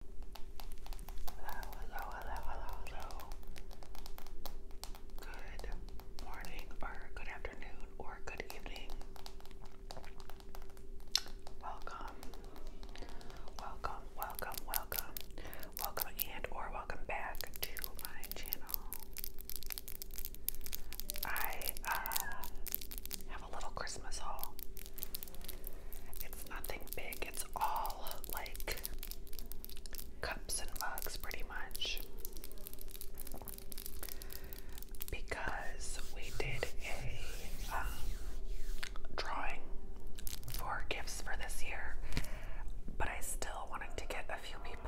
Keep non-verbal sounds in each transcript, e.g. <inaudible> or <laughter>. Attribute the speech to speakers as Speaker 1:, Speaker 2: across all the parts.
Speaker 1: Hello, hello, hello, hello, hello. Good morning, or good afternoon, or good evening. Welcome, welcome, welcome, welcome, welcome, and or welcome back to my channel. I uh, a little Christmas haul. It's nothing big, it's all like cups and mugs pretty much. Because we did a um, drawing for gifts for this year, but I still wanted to get a few people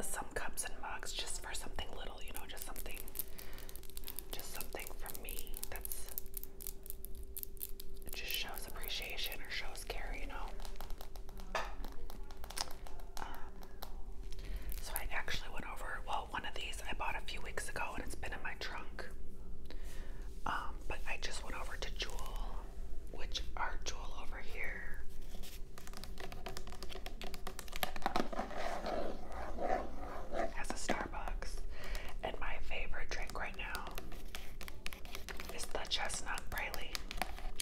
Speaker 1: some cups and mugs just for something little, you know, just something, just something from me that's it just shows appreciation or shows care, you know. Um, so I actually went over, well, one of these I bought a few weeks ago and it's been in my trunk. Um, but I just went over to Jewel, which are Jewel over here has a Starbucks. And my favorite drink right now is the chestnut praline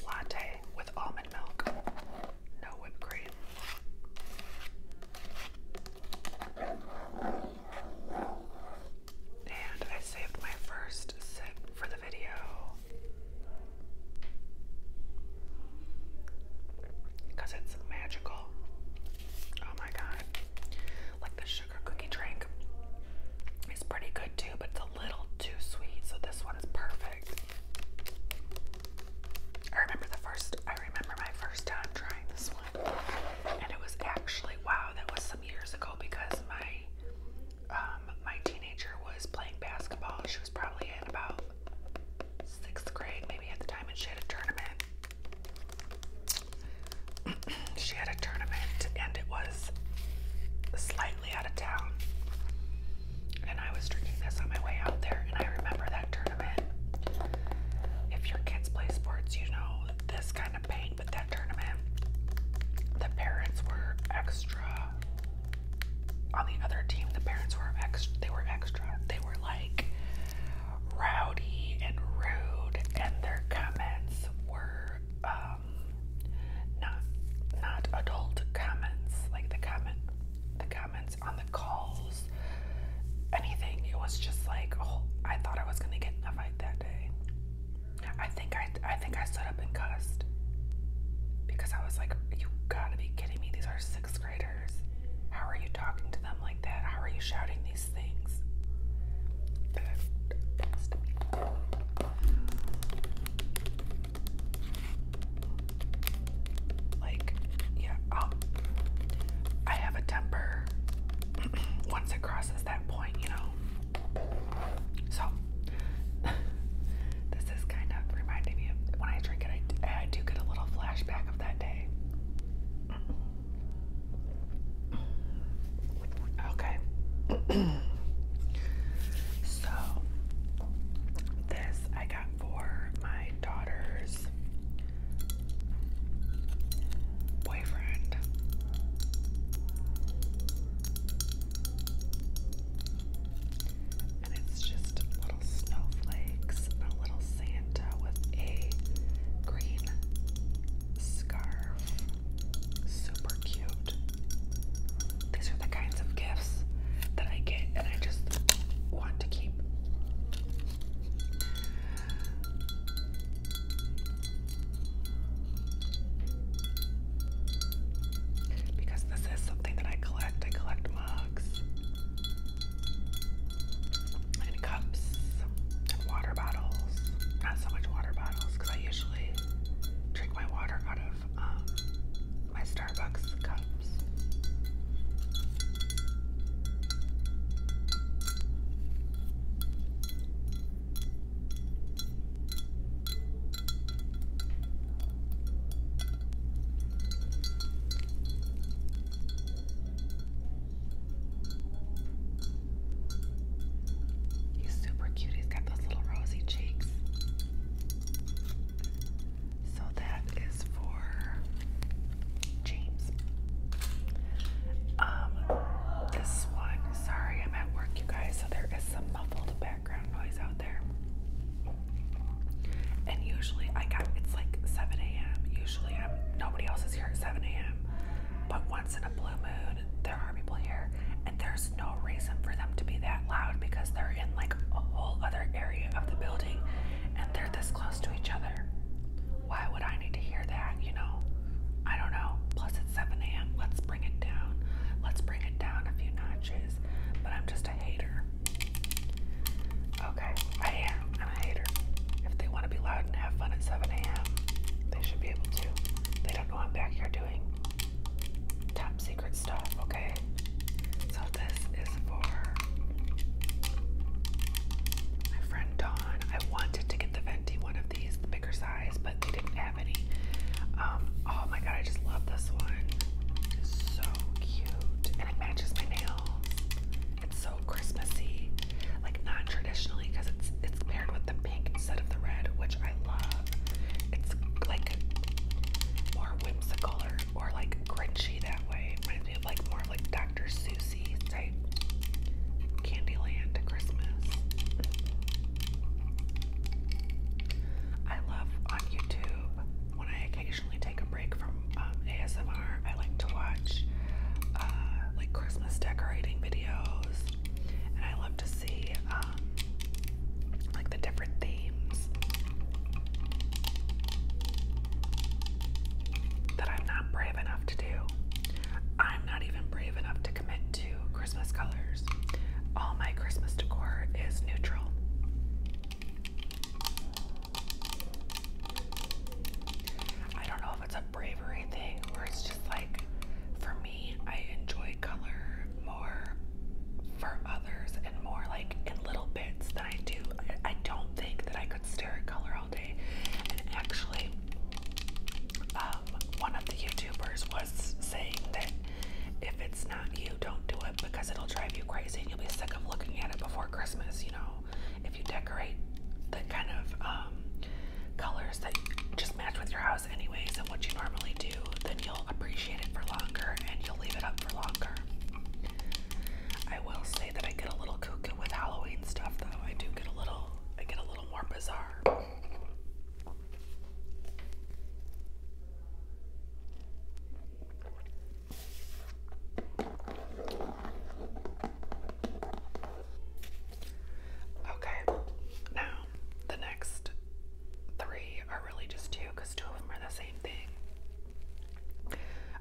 Speaker 1: latte with almond milk, no whipped cream. And I saved my first sip for the video. Because it's magical. Oh my god. Like the sugar cookie drink is pretty good too, but it's a little too sweet, so this one is perfect. I remember the first I remember my first time trying this one. And it was actually wow, that was some years ago because my um, my teenager was playing basketball. She was probably in about sixth grade maybe at the time and she had a tournament <clears throat> she had a tournament and it was slightly out of town. And I was drinking this on my way out there, and I remember that tournament. If your kids play sports, you know this kind of pain, but that tournament, the parents were extra. On the other team, the parents were extra. They were extra. They were like, rowdy and rude, and their comments were um, not not adult comments. Like the comment, the comments on the calls, anything. It was just like, oh, I thought I was gonna get in a fight that day. I think I, I think I stood up and cussed because I was like, you gotta be kidding me. These are sixth graders? How are you talking to them like that? How are you shouting these things? Like, yeah, I have a temper <clears throat> once it crosses that point, you know. So, <laughs> this is kind of reminding me when I drink it, I do get a little flashback that day. Okay. <clears throat> so, this I got for my daughter's boyfriend and it's just little snowflakes, a little Santa with a green scarf. Super cute. These are the kinds of gifts that I get and I just want to keep. Because this is something that I collect. I collect mugs and cups and water bottles. Not so much water bottles I usually drink my water out of um, my Starbucks cups. He's super cute. He's got those little rosy cheeks. So that is for James. Um, this one. Sorry, I'm at work, you guys. So there is some muffled background noise out there. And usually I got it's like 7 a.m. Usually I'm nobody else is here at 7 a.m. But once in a blue moon, there are people here, and there's no reason for them to be that loud because they're in like a whole other area of the building and they're this close to each other. Why would I need to hear that, you know? I don't know. Plus, it's 7 a.m. Let's bring it down. Let's bring it down a few notches. But I'm just a hater. Okay, I am. i a hater. If they want to be loud and have fun at 7 a.m., they should be able to. They don't know I'm back here doing top secret stuff, okay? So this is for my friend Dawn. I wanted to get the Venti one of these, the bigger size, but they didn't have any. Um, oh my god, I just love this one. It's So cute. And it matches my nail. It's so Christmassy. Like not traditionally because it's it's paired with the pink instead of the red, which I love. It's like more whimsical or, or like grinchy that way. It reminds me of like more like Dr. Susie type Candyland Christmas. I love on YouTube when I occasionally take a break from um, ASMR, I like to watch uh, like Christmas decorating videos, and I love to see um, like the different themes that I'm not brave enough to do. I'm not even brave enough to commit to Christmas colors. All my Christmas decor is neutral. I don't know if it's a bravery thing or it's just like for me, I enjoy color more for others and more like in little bits than I do. I, don't think that I could stare at color all day. And actually, um, one of the YouTubers was saying that if it's you, don't do it because it'll drive you crazy and you'll be sick of looking at it before Christmas, you know. If you decorate the kind of um, colors that just match with your house, anyways, and what you normally do, then you'll appreciate it for longer and you'll leave it up for longer. I will say that I get a little cuckoo with Halloween stuff, though. I do get a little, I get a little more bizarre. Okay, now the next three are really just two two of them are the same thing.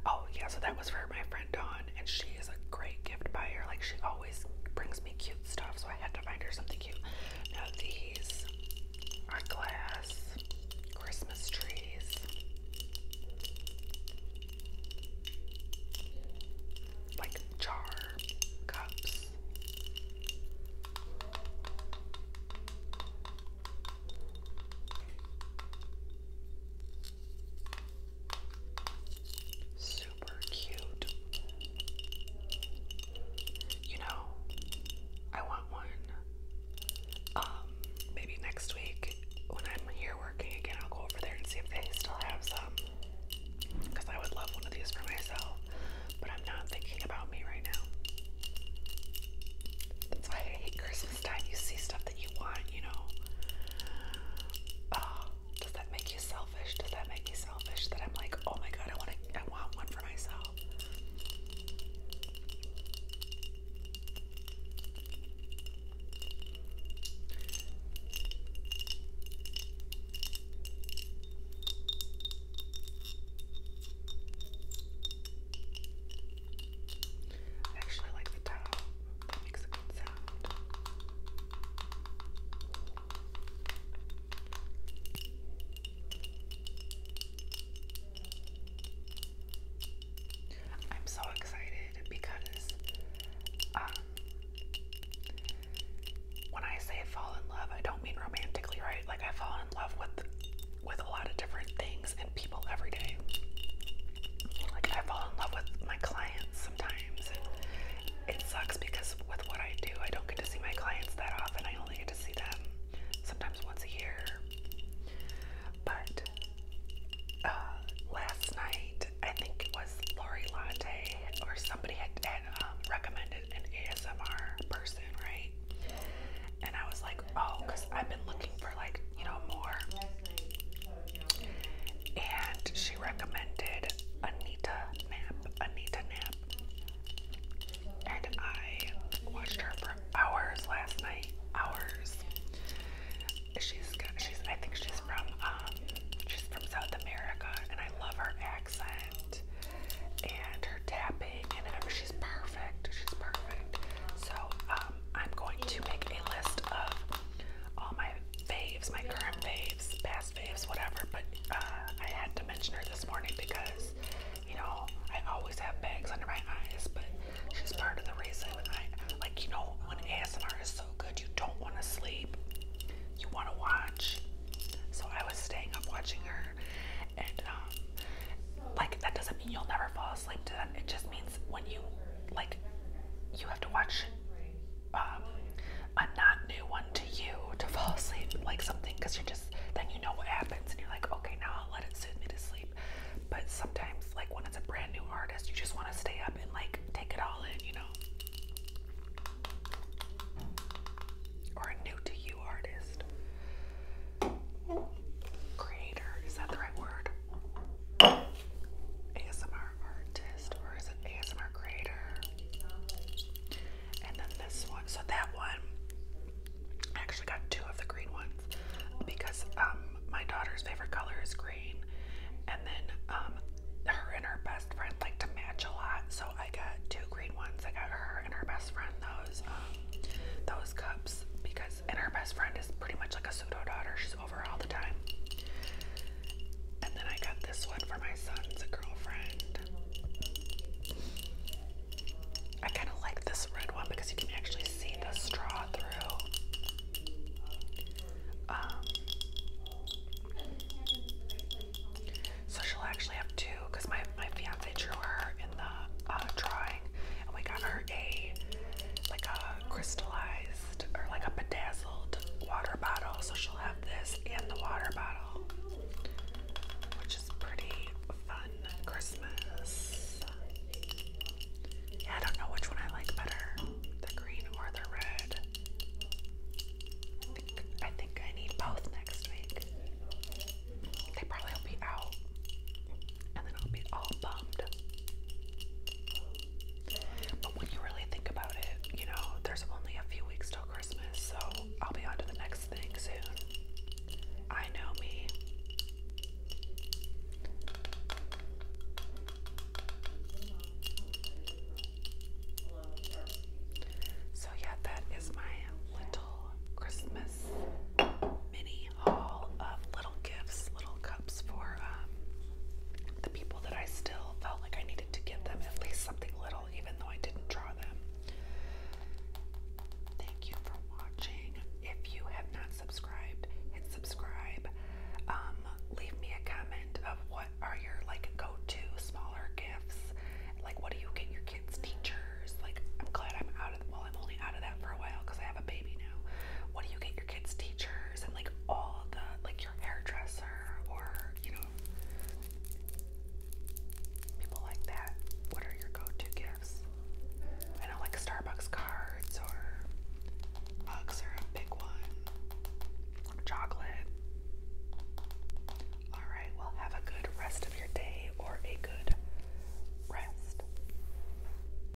Speaker 1: Oh, yeah, so that was for my friend Dawn, and she is a great gift buyer. Like, she always brings me cute stuff, so I had to find her something cute. Now these are glass Christmas trees. Like jar cups. Super super cute. You know, I want one. Um, maybe next week when I'm here working again, I'll go over there and see if they still have some. Because I would love one of these for myself, but I'm not thinking about me right now. That's why I hate Christmas time. You see stuff that you want, you know. Ah does that make you selfish? Does that make you selfish? That I'm like, oh my god, I want to, I want one for myself. I actually like the towel. makes a good sound. I'm so excited because um, when I say fall in love, I don't mean romantically, right? Like I fall in love with with a lot of different things and people every day. Like I fall in love with my clients sometimes times. And it sucks because with what I do, I don't get to see my clients that often. I only get to see them sometimes once a year. But uh, last night, I think it was Lori Latte or somebody had, had um, recommended an ASMR person, right? And I was like, oh, because I've been looking for like, you know, more. And she recommended Anita nap. Anita nap. And I watched her for hours last night. Hours. she she's I think she's from um she's from South America and I love her accent and her tapping and She's perfect. She's perfect. So um I'm going to make a list of all my faves, my current faves, past people's faves, whatever. But uh, I had to mention her this morning because, you know, I always have bags under my eyes, but she's part of the reason. I like, you know, when ASMR is so good, you don't want to sleep, you want to watch. So I was staying up watching her, and um, like that doesn't mean you'll never fall asleep to them. It just means when you like, you have to watch um, a not new one to you to fall asleep like something because you just then you know what happens and you're like okay now I'll let it soothe me to sleep but sometimes like when it's a brand new artist you just want to stay up and like take it all in you know or a new to you artist creator is that the right word ASMR artist or is it ASMR creator? And then this one. So that one, I actually got two of the green ones because um, my daughter's favorite color is green, and then um, her and her best friend like to match a lot. So I got two green ones. I got her and her best friend those um, those cups because and her best friend is pretty much like a pseudo daughter over all the time. And then I got this one for my son's girlfriend. I kind of like this red one because you can actually see the straw through. Um, so she'll actually have two because my, my fiance drew her in the uh, drawing and we got her a like a crystallized or like a bedazzled water bottle. So she'll have this and the water bottle, which is pretty fun Christmas. Yeah, I don't know which one I like better, the green or the red. I think I, need both next week. They probably will be out, and then I'll be all bummed. But when you really think about it, you know, there's only a few weeks till Christmas, so I'll be on the next thing soon. I know me. So, yeah, that is my little Christmas mini haul of little gifts, little cups for um, the people that I still felt like I needed to give them at least something little, even though I didn't draw them. Thank you for watching. If you have not subscribed, hit subscribe. Um, leave me a comment of what are your like go-to smaller gifts. Like what do you get your kids teachers? Like I'm glad I'm out of well, I'm only out of that for a while because I have a baby now. What do you get your kids teachers? and like all the like your hairdresser or you know people like that. What are your go-to gifts? I know like Starbucks cards or bugs are a big one. Chocolate. Alright, well have a good rest of your day or a good rest.